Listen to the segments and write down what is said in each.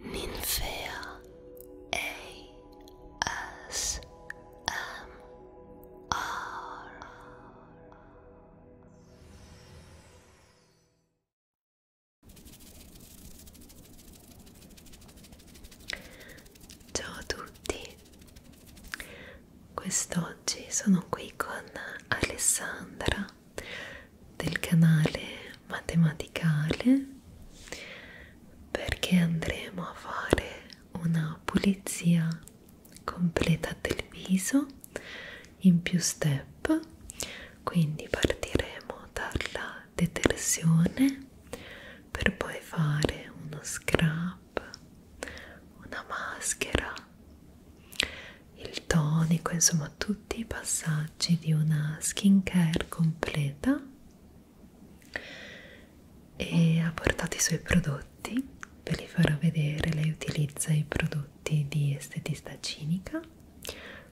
Ninfea ASMR Ciao a tutti, quest'oggi sono qui con Alessandra del canale matematicale perché andremo a fare una pulizia completa del viso in più step quindi partiremo dalla detersione per poi fare uno scrub una maschera il tonico, insomma tutti i passaggi di una skincare completa e ha portato i suoi prodotti, ve li farò vedere, lei utilizza i prodotti di estetista cinica,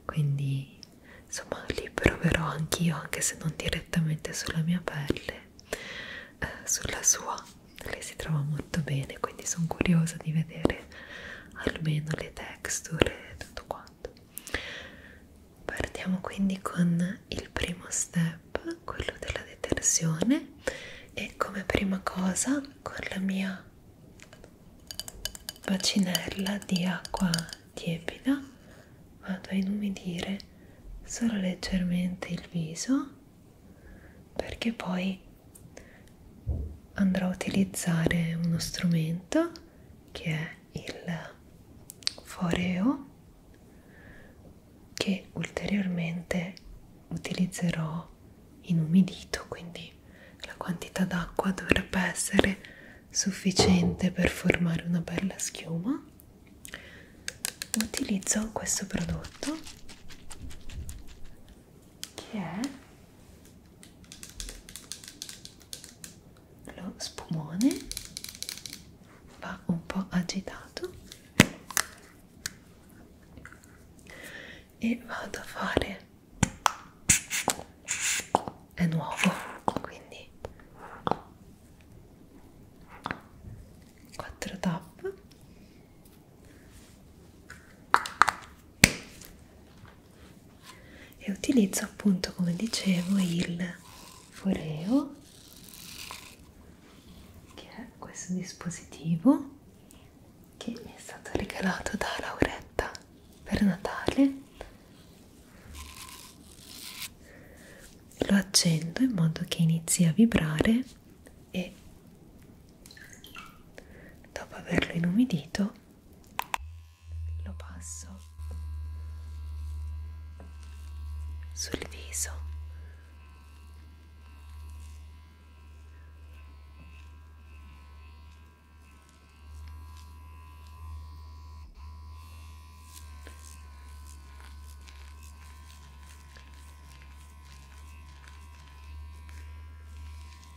quindi insomma li proverò anch'io anche se non direttamente sulla mia pelle, eh, sulla sua, lei si trova molto bene, quindi sono curiosa di vedere almeno le texture e tutto quanto partiamo quindi con il primo step quello della detersione e come prima cosa con la mia bacinella di acqua tiepida vado a inumidire solo leggermente il viso perché poi andrò a utilizzare uno strumento che è il foreo che ulteriormente utilizzerò inumidito quindi la quantità d'acqua dovrebbe essere sufficiente per formare una bella schiuma utilizzo questo prodotto che è lo spumone va un po' agitato e vado a fare è nuovo quindi 4 tap e utilizzo appunto come dicevo il foreo che è questo dispositivo che mi è stato regalato da Lauretta per Natale lo accendo in modo che inizi a vibrare e dopo averlo inumidito lo passo sul viso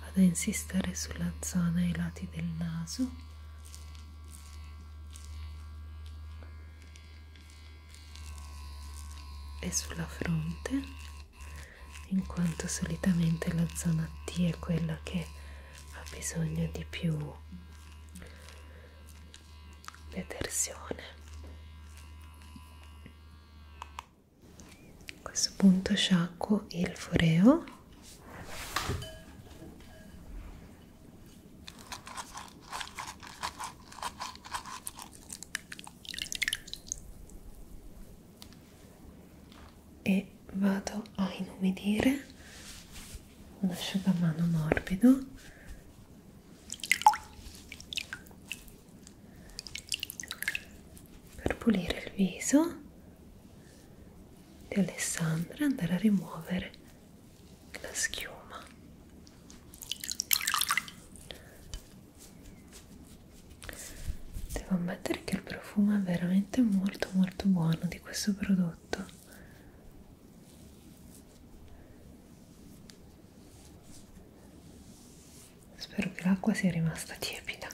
vado a insistere sulla zona ai lati del naso e sulla fronte in quanto solitamente la zona T è quella che ha bisogno di più detersione a questo punto sciacquo il foreo e vado a inumidire un asciugamano morbido per pulire il viso di Alessandra andare a rimuovere la schiuma devo ammettere che il profumo è veramente molto molto buono di questo prodotto spero che l'acqua sia rimasta tiepida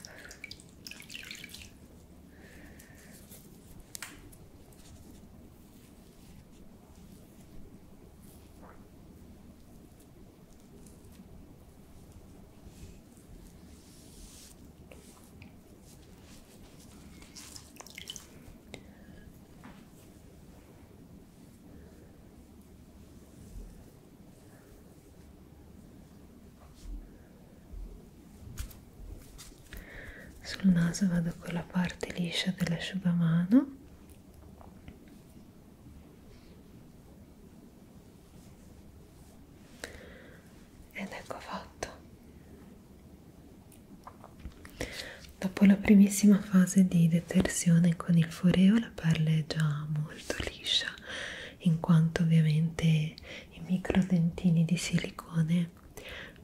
sul naso vado con la parte liscia dell'asciugamano ed ecco fatto dopo la primissima fase di detersione con il foreo la pelle è già molto molto liscia in quanto ovviamente i micro dentini di silicone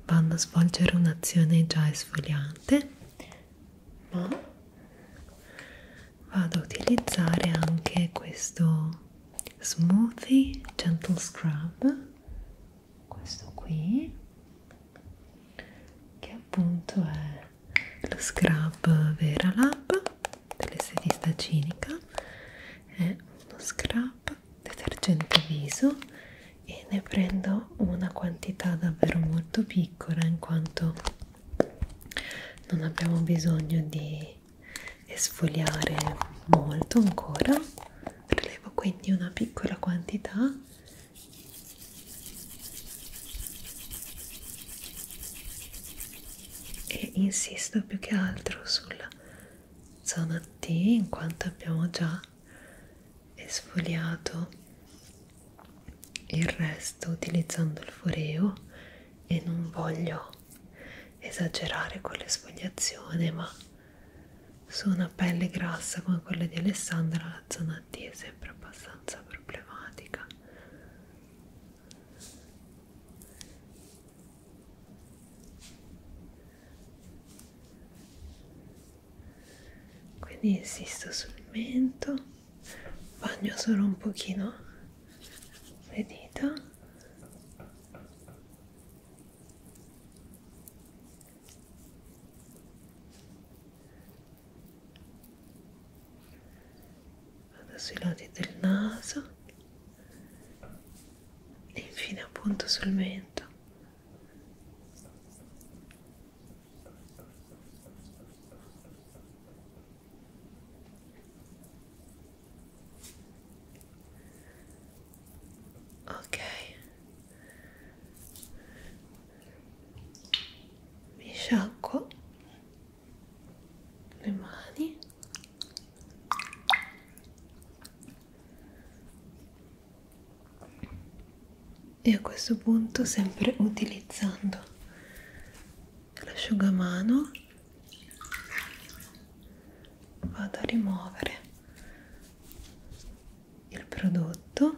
vanno a svolgere un'azione già esfoliante ma vado a utilizzare anche questo smoothie gentle scrub questo qui che appunto è lo scrub Vera Lab dell'estetista cinica è uno scrub detergente viso e ne prendo una quantità davvero molto piccola in quanto non abbiamo bisogno di esfoliare molto ancora prelevo quindi una piccola quantità e insisto più che altro sulla zona T in quanto abbiamo già esfoliato il resto utilizzando il foreo e non voglio esagerare con l'esfoliazione ma su una pelle grassa come quella di Alessandra la zona T è sempre abbastanza problematica quindi insisto sul mento bagno solo un pochino le dita vado sui lati del naso e infine appunto sul mento ok mi sciacquo le mani e a questo punto sempre utilizzando l'asciugamano vado a rimuovere il prodotto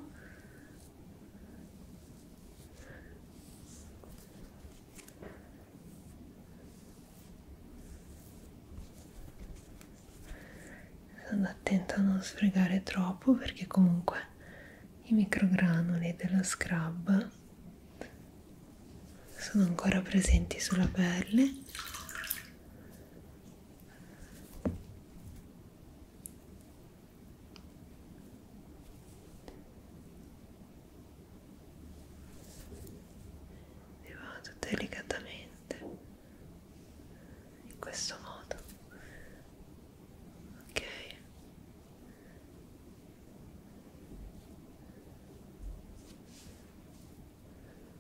sono attenta a non sfregare troppo perché comunque i microgranuli dello scrub sono ancora presenti sulla pelle e vado delicatamente in questo modo ok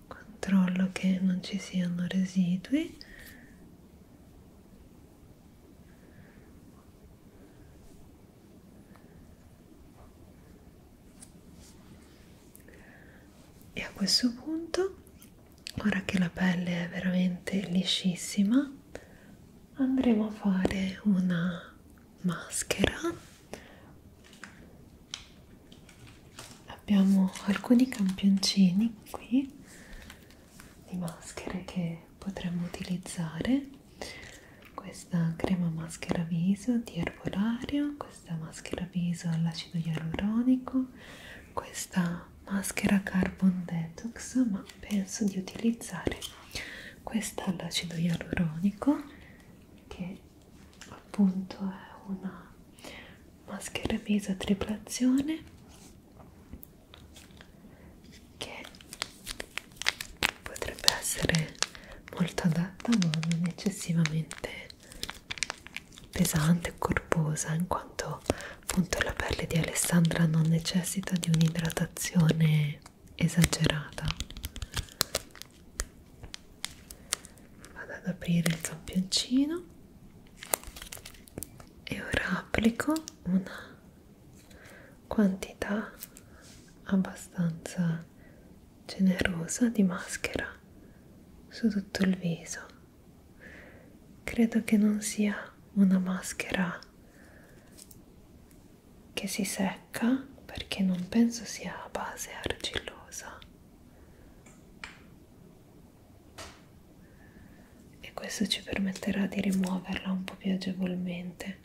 controllo che non ci siano residui e a questo punto ora che la pelle è veramente liscissima andremo a fare una maschera abbiamo alcuni campioncini qui di maschere che potremmo utilizzare questa crema maschera viso di erbolario questa maschera viso all'acido ialuronico questa maschera carbon detox ma penso di utilizzare questa all'acido ialuronico che appunto è una maschera viso a triplazione che potrebbe essere molto adatta ma non eccessivamente pesante o corposa in quanto appunto la pelle di Alessandra non necessita di un'idratazione esagerata vado ad aprire il campioncino e ora applico una quantità abbastanza generosa di maschera su tutto il viso credo che non sia una maschera che si secca perché non penso sia a base argillosa e questo ci permetterà di rimuoverla un po' più agevolmente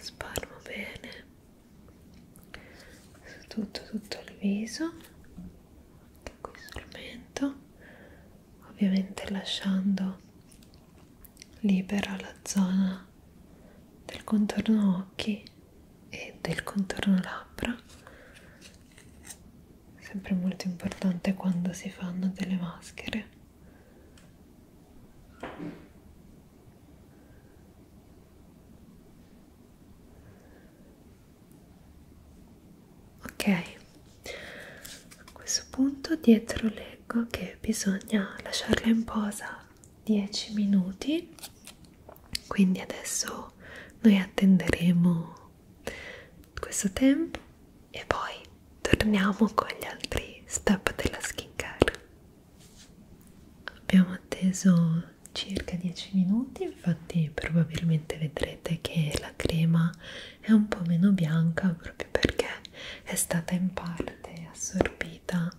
sparmo bene su tutto tutto il viso anche qui sul mento ovviamente lasciando libera la zona del contorno occhi e del contorno labbra sempre molto importante quando si fanno delle maschere ok a questo punto dietro leggo che bisogna lasciarla in posa 10 minuti quindi adesso noi attenderemo questo tempo e poi torniamo con gli altri step della skincare abbiamo atteso circa 10 minuti infatti probabilmente vedrete che la crema è un po' meno bianca proprio perché è stata in parte assorbita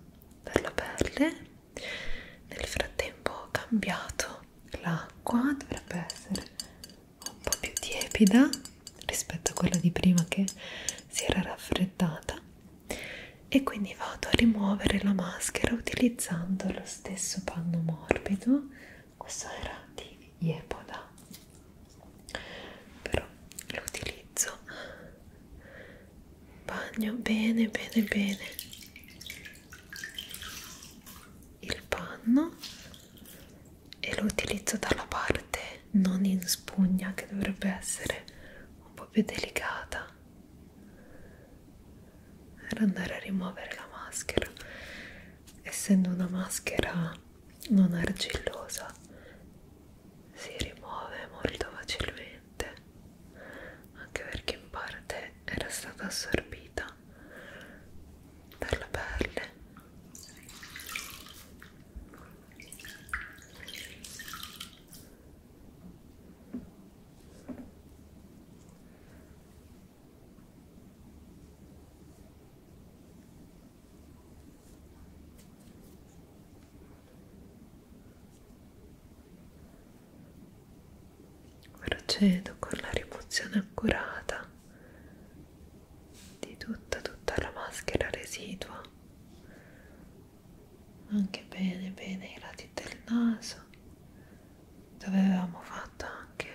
dalla pelle nel frattempo ho cambiato l'acqua dovrebbe essere un po' più tiepida rispetto a quella di prima che si era raffreddata e quindi vado a rimuovere la maschera utilizzando lo stesso panno morbido questo era di Yepoda però lo utilizzo bagno bene bene bene il panno e lo utilizzo dalla parte non in spugna che dovrebbe essere un po' più delicata per andare a rimuovere la maschera essendo una maschera non argillosa si rimuove molto facilmente anche perché in parte era stata assorbita dalla pelle Procedo con la rimozione accurata di tutta tutta la maschera residua anche bene bene i lati del naso dove avevamo fatto anche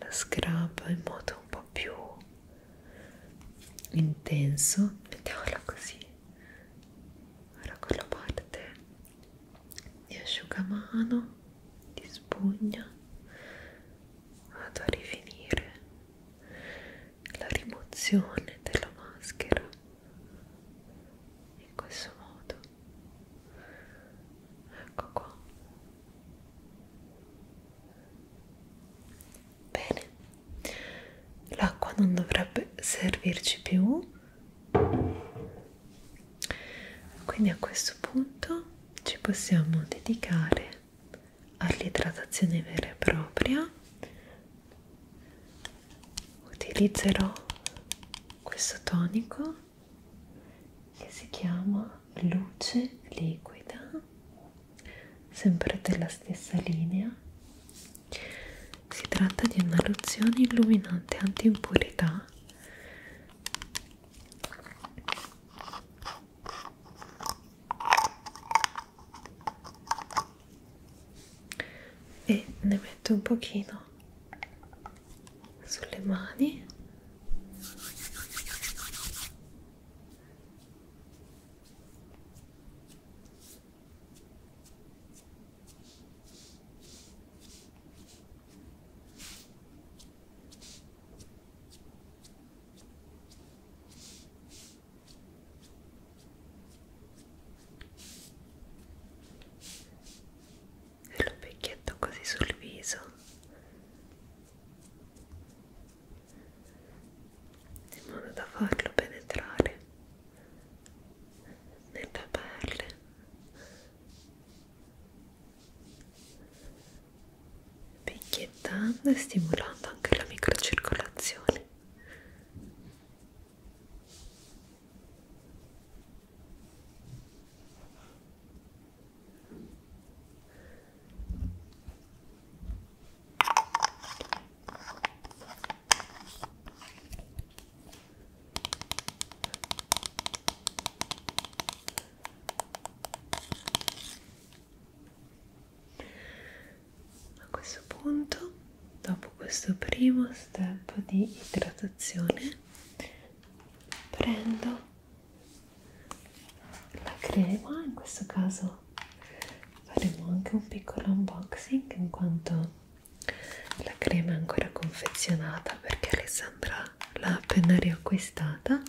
la scrub in modo un po' più intenso mettiamola così ora con la parte di asciugamano di spugna vado a rifinire la rimozione della maschera in questo modo ecco qua Bene, l'acqua non dovrebbe servirci più, quindi a questo punto ci possiamo dedicare all'idratazione vera e propria. Utilizzerò questo tonico che si chiama luce liquida sempre della stessa linea si tratta di una lozione illuminante anti-impurità e ne metto un pochino sulle mani e lo picchietto così sul viso in modo da farlo penetrare nella pelle picchiettando e stimolando anche la microcircolazione a questo punto, dopo questo primo step di idratazione, prendo la crema in questo caso faremo anche un piccolo unboxing in quanto la crema è ancora confezionata perché Alessandra l'ha appena riacquistata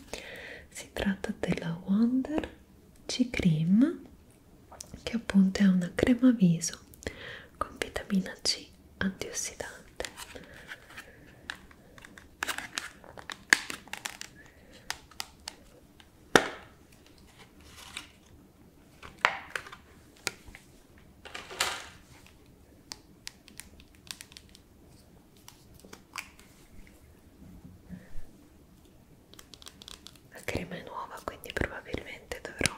si tratta della Wonder C Cream che appunto è una crema viso con vitamina C antiossidante la crema è nuova quindi probabilmente dovrò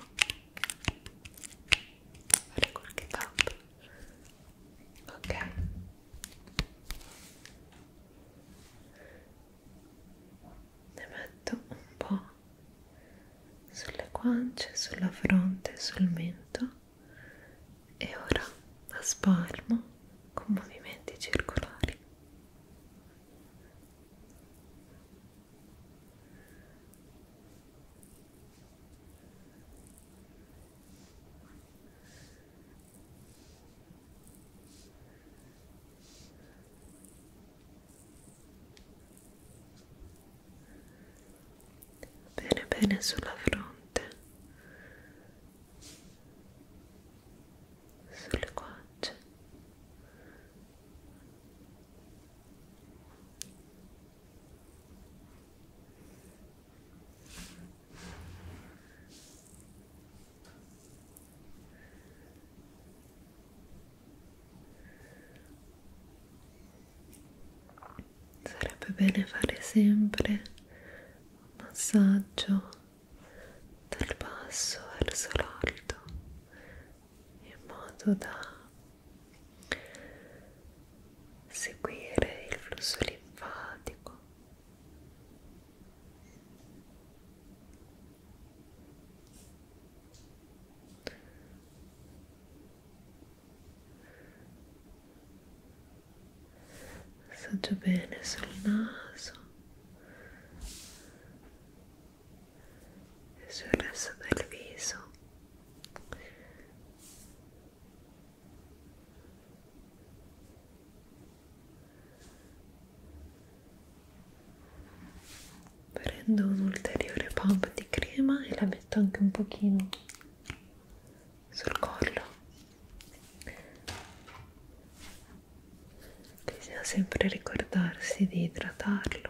fare qualche tappo ok ne metto un po' sulle guance, sulla fronte, sul mento e ora la spalmo con movimenti circolari Bene, bene sulla fronte, sulle guance. Sarebbe bene fare sempre un massaggio dal basso verso l'alto in modo da seguire il flusso linfatico assaggio bene sul naso e sul resto del viso prendo un ulteriore pump di crema e la metto anche un pochino sul collo bisogna sempre ricordarsi di idratarlo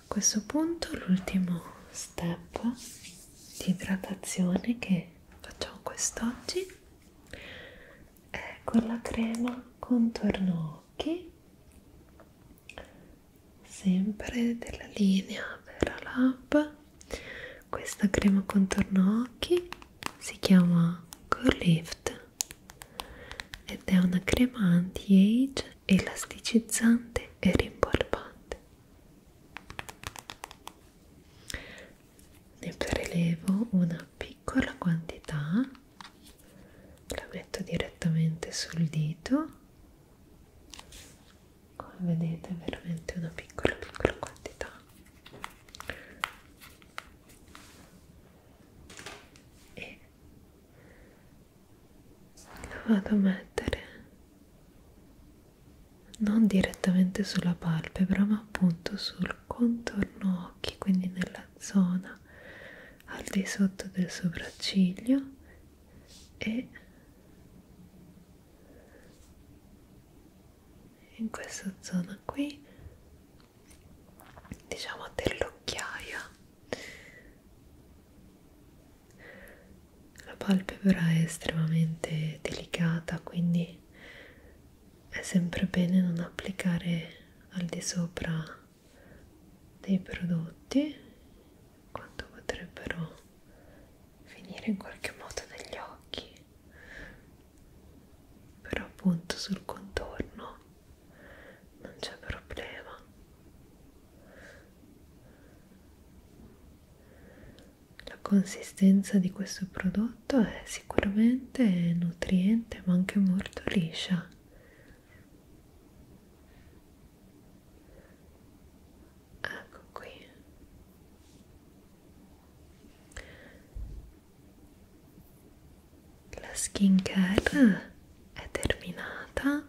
A questo punto l'ultimo step di idratazione che facciamo quest'oggi è con la crema contorno occhi sempre della linea Vera Lab questa crema contorno occhi si chiama Core Lift ed è una crema anti-age elasticizzante e rimpolpante. Ne prelevo una piccola quantità, la metto direttamente sul dito, come vedete veramente una piccola piccola quantità. E lo vado a mettere non direttamente sulla palpebra ma appunto sul contorno occhi quindi nella zona al di sotto del sopracciglio e in questa zona qui diciamo dell'occhiaia la palpebra è estremamente delicata, quindi è sempre bene non applicare al di sopra dei prodotti quanto potrebbero finire in qualche modo negli occhi però appunto sul contorno non c'è problema la consistenza di questo prodotto è sicuramente nutriente ma anche molto liscia. Ecco qui. La skin care è terminata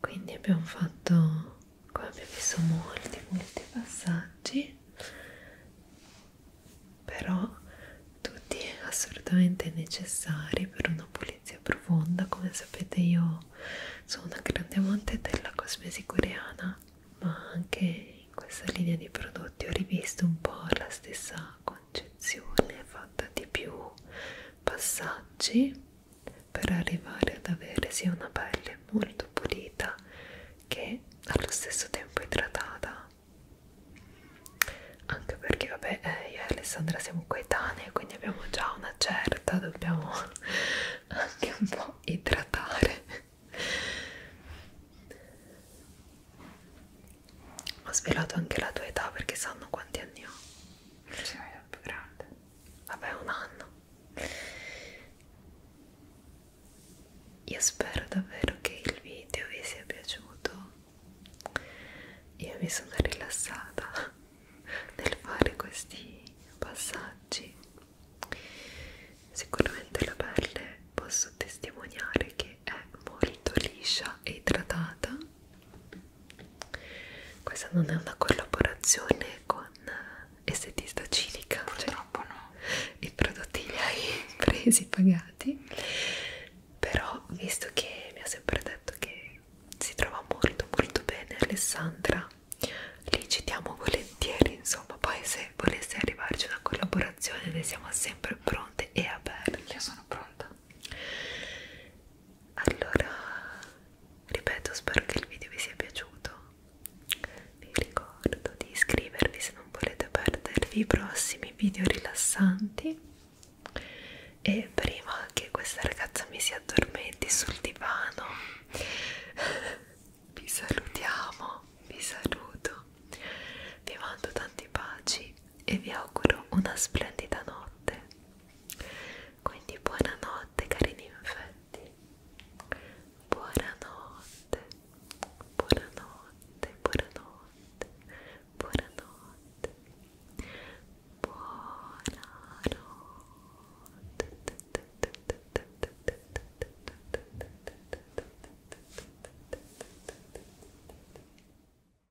quindi abbiamo fatto come abbiamo visto molti molti passaggi però tutti assolutamente necessari per una pulizia profonda come sapete io sono una grande amante della cosmesi coreana ma anche in questa linea di prodotti ho rivisto un po' la stessa concezione fatta di più passaggi per arrivare ad avere sia una pelle molto pulita che allo stesso tempo idratata anche perché vabbè eh, io e Alessandra siamo coetanee quindi abbiamo già una certa dobbiamo anche un po' idratare ho svelato anche la tua età perché sanno quanti anni ho è più grande vabbè un anno io spero davvero che il video vi sia piaciuto io mi sono rilassata nel fare questi passaggi sicuramente la pelle posso testimoniare che è molto liscia e idratata questa non è una collaborazione con estetista eh, civica, cioè purtroppo cioè, no. I prodotti li hai presi pagati, però visto che mi ha sempre detto che si trova molto molto bene Alessandra, li citiamo volentieri, insomma, poi se volesse arrivarci una collaborazione ne siamo sempre pronte e aperte. Io sono pronta allora ripeto spero che il video vi sia piaciuto vi ricordo di iscrivervi se non volete perdervi i prossimi video rilassanti e prima che questa ragazza mi si addormenti sul divano vi salutiamo vi saluto vi mando tanti baci e vi auguro una splendida notte quindi buonanotte carini infetti. Buonanotte. Buonanotte. Buonanotte. Buonanotte. Buonanotte.